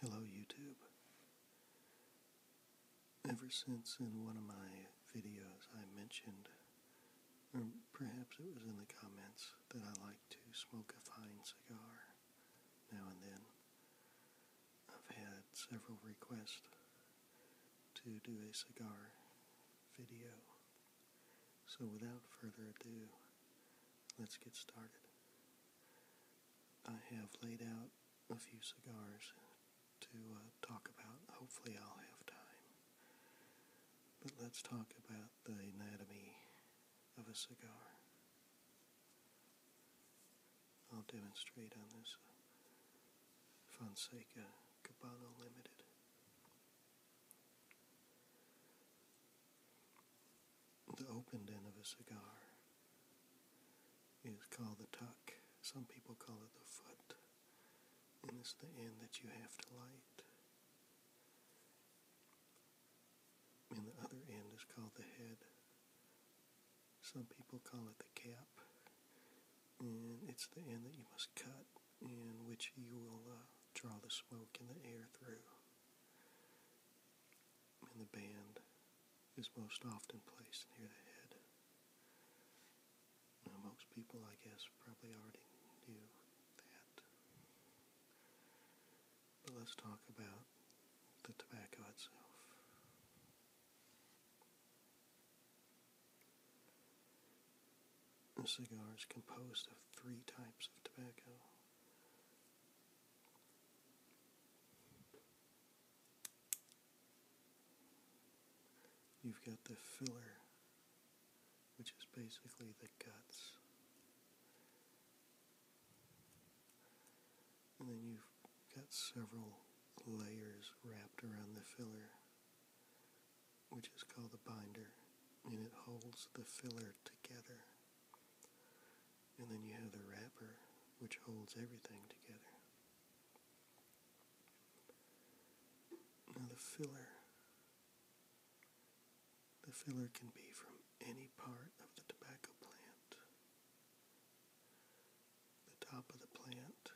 Hello, YouTube. Ever since in one of my videos I mentioned, or perhaps it was in the comments, that I like to smoke a fine cigar now and then, I've had several requests to do a cigar video. So without further ado, let's get started. I have laid out a few cigars to uh, talk about. Hopefully I'll have time. But let's talk about the anatomy of a cigar. I'll demonstrate on this Fonseca Cabana Limited. The opened end of a cigar is called the tuck. Some people call it the foot. And it's the end that you have to light. And the other end is called the head. Some people call it the cap. And it's the end that you must cut in which you will uh, draw the smoke and the air through. And the band is most often placed near the head. Now, most people, I guess, probably already knew that. But let's talk about the tobacco itself. A cigar is composed of three types of tobacco. You've got the filler, which is basically the guts. And then you've got several layers wrapped around the filler which is called the binder, and it holds the filler together. And then you have the wrapper, which holds everything together. Now the filler, the filler can be from any part of the tobacco plant, the top of the plant,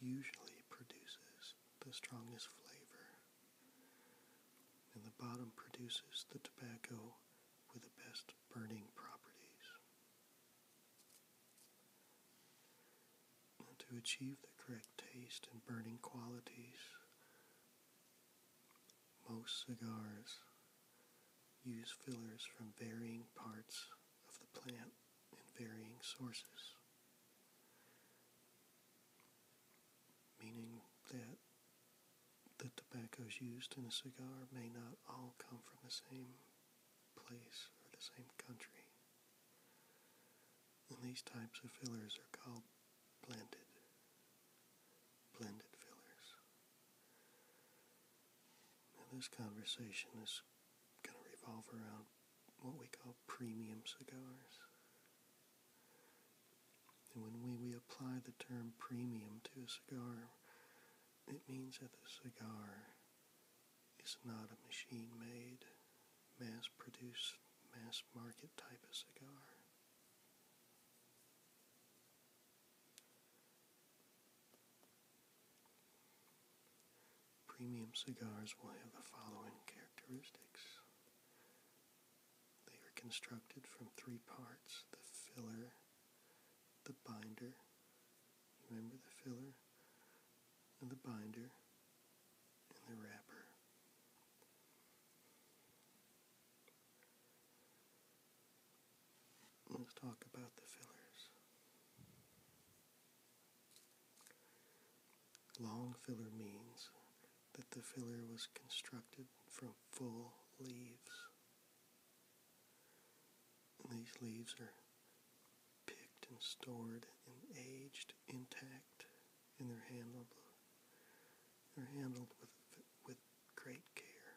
usually produces the strongest flavor, and the bottom produces the tobacco with the best burning properties. to achieve the correct taste and burning qualities, most cigars use fillers from varying parts of the plant and varying sources, meaning that the tobaccos used in a cigar may not all come from the same place or the same country. And these types of fillers are called blended. Blended fillers. Now this conversation is going to revolve around what we call premium cigars. And when we, we apply the term premium to a cigar, it means that the cigar is not a machine made, mass produced, mass market type of cigar. Premium cigars will have the following characteristics. They are constructed from three parts the filler, the binder, remember the filler, and the binder, and the wrapper. Let's talk about the fillers. Long filler means that the filler was constructed from full leaves. these leaves are picked and stored and aged intact, and they're handled they're handled with with great care.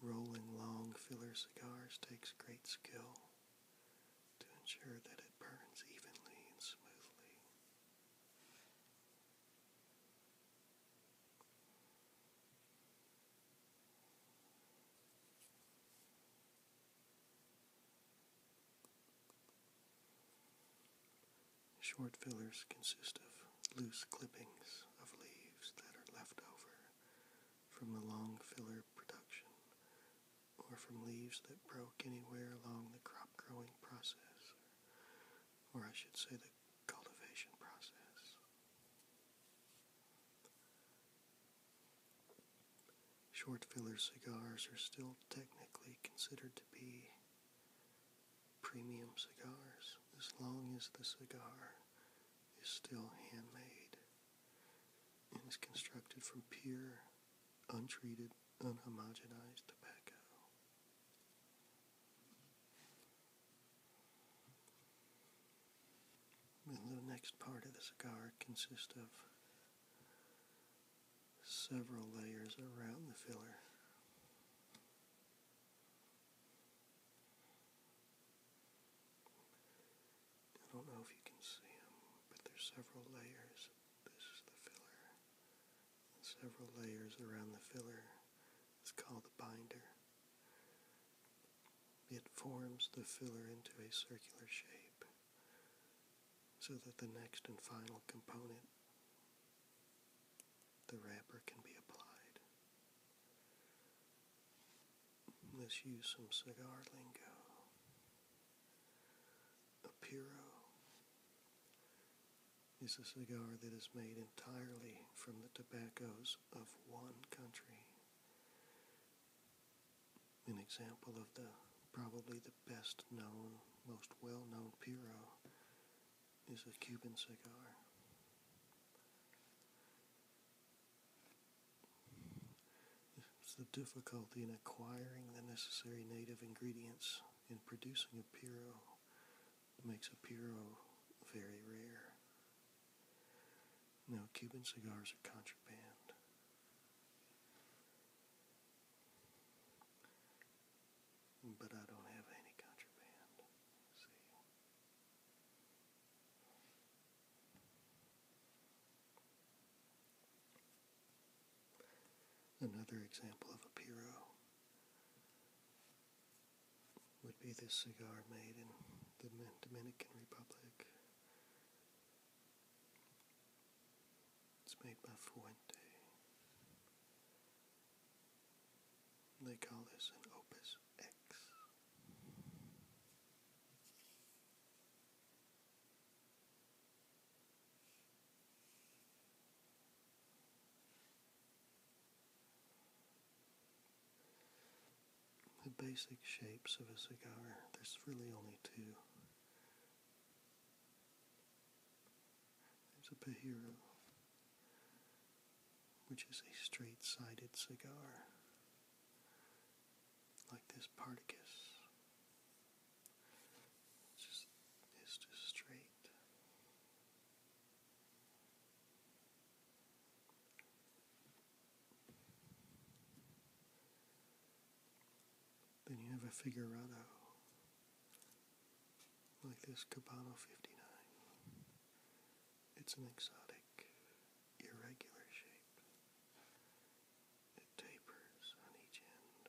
Rolling long filler cigars takes great skill to ensure that it burns evenly and smoothly. Short fillers consist of loose clippings of leaves that are left over from the long filler production or from leaves that broke anywhere along the crop growing process, or I should say the cultivation process. Short filler cigars are still technically considered to be premium cigars as long as the cigar is still handmade and is constructed from pure, untreated, unhomogenized tobacco. the next part of the cigar consists of several layers around the filler. I don't know if you can see them, but there's several layers. This is the filler. several layers around the filler is called the binder. It forms the filler into a circular shape so that the next and final component, the wrapper, can be applied. Let's use some cigar lingo. A puro is a cigar that is made entirely from the tobaccos of one country. An example of the probably the best known, most well known puro is a Cuban cigar the difficulty in acquiring the necessary native ingredients in producing a Piro makes a Piro very rare. Now, Cuban cigars are contraband. But I don't have any contraband. Another example of a Piro would be this cigar made in the Dominican Republic. It's made by Fuente. They call this an opus. The basic shapes of a cigar, there's really only two. There's a Pajero, which is a straight sided cigar like this Particus. It's just, it's just straight. Then you have a figurado like this Cabano 59. It's an exotic irregular shape. It tapers on each end.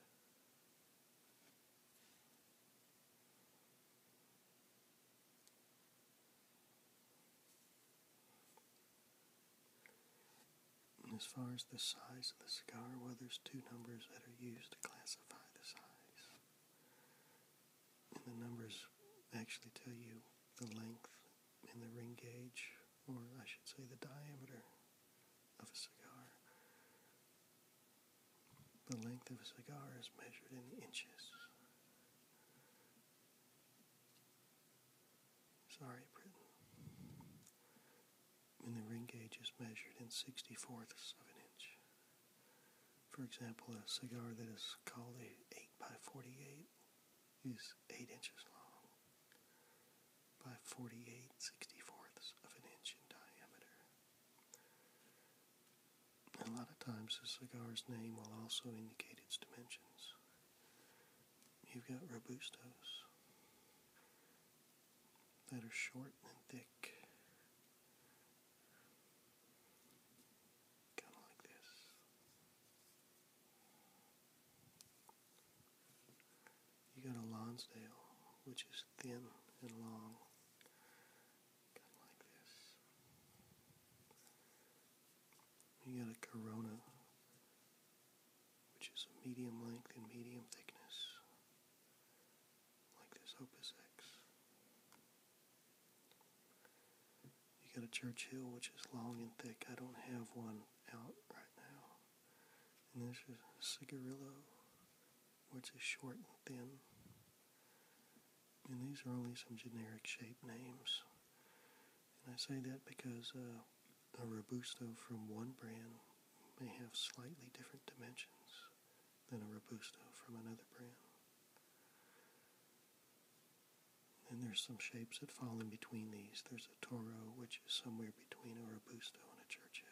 as far as the size of the cigar, well, there's two numbers that are used to classify the size and the numbers actually tell you the length in the ring gauge, or I should say the diameter of a cigar. The length of a cigar is measured in inches. Sorry, Britain. And the ring gauge is measured in 64ths of an inch. For example, a cigar that is called a 8x48 is 8 inches long by 48 64ths of an inch in diameter. a lot of times the cigar's name will also indicate its dimensions. You've got Robustos that are short and thick. You got a Lonsdale, which is thin and long, like this. You got a Corona, which is medium length and medium thickness, like this Opus X. You got a Church Hill, which is long and thick. I don't have one out right now. And this is Cigarillo, which is short and thin. And these are only some generic shape names. And I say that because uh, a Robusto from one brand may have slightly different dimensions than a Robusto from another brand. And there's some shapes that fall in between these. There's a Toro, which is somewhere between a Robusto and a Churchill.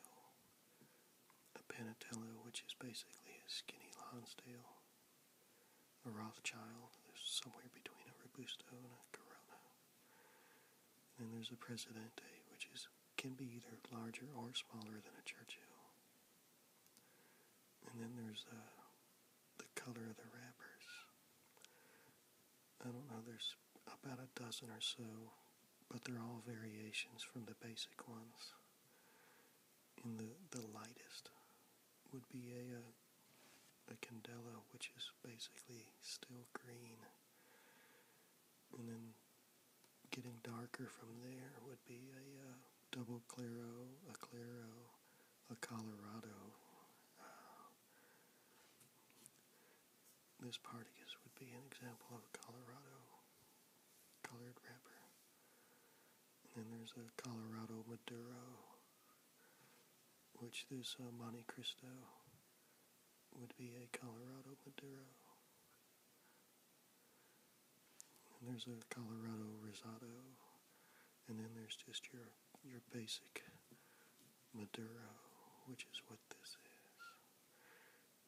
A Panatello, which is basically a skinny Lonsdale. A Rothschild, there's somewhere between a Robusto and a Corona. And then there's a Presidente, which is can be either larger or smaller than a Churchill. And then there's a the color of the wrappers. I don't know, there's about a dozen or so, but they're all variations from the basic ones. In the, the lightest would be a, a, candela, which is basically still green. And then getting darker from there would be a, a double claro, a claro, a Colorado. Uh, this partagas would be an example of a Colorado colored wrapper. And then there's a Colorado Maduro, which this uh, Monte Cristo would be a Colorado Maduro. And there's a Colorado Rosado, and then there's just your your basic Maduro, which is what this is.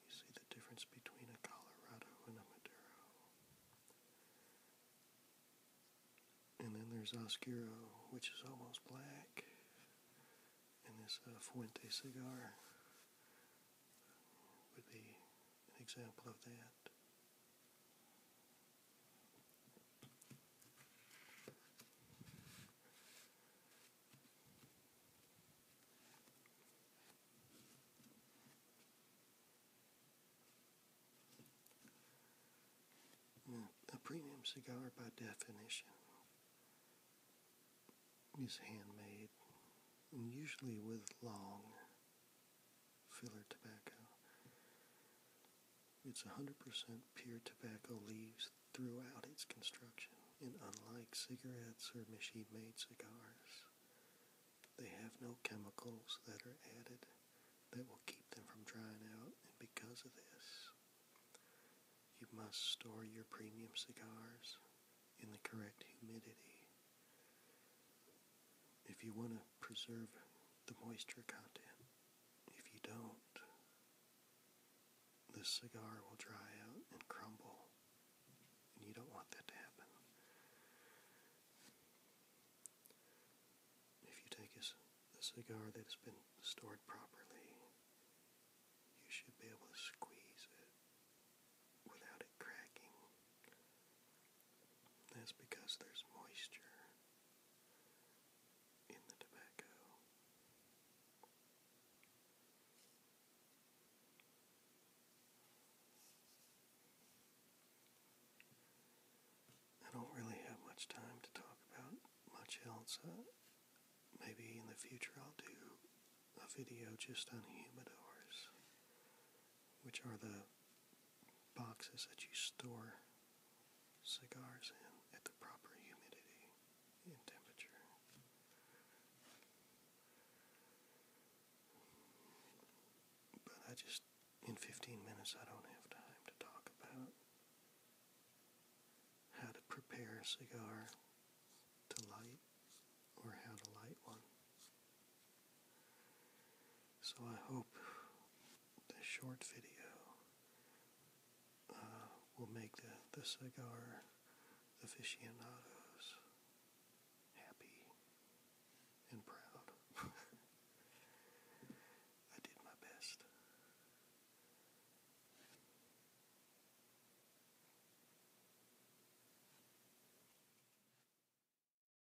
You see the difference between a Colorado and a Maduro. And then there's Oscuro, which is almost black. And this uh, Fuente cigar would be an example of that. A premium cigar, by definition, is handmade and usually with long filler tobacco. It's 100% pure tobacco leaves throughout its construction, and unlike cigarettes or machine-made cigars, they have no chemicals that are added that will keep them from drying out, and because of this, you must store your premium cigars in the correct humidity. If you want to preserve the moisture content. If you don't, this cigar will dry out and crumble, and you don't want that to happen. If you take a, a cigar that has been stored properly, you should be able to squeeze it without it cracking that's because there's moisture in the tobacco. I don't really have much time to talk about much else. Uh, maybe in the future I'll do a video just on humidors, which are the boxes that you store cigars in at the proper humidity and temperature. But I just, in 15 minutes, I don't have time to talk about how to prepare a cigar to light or how to light one. So I hope this short video uh, will make the, the cigar aficionados happy and proud. I did my best.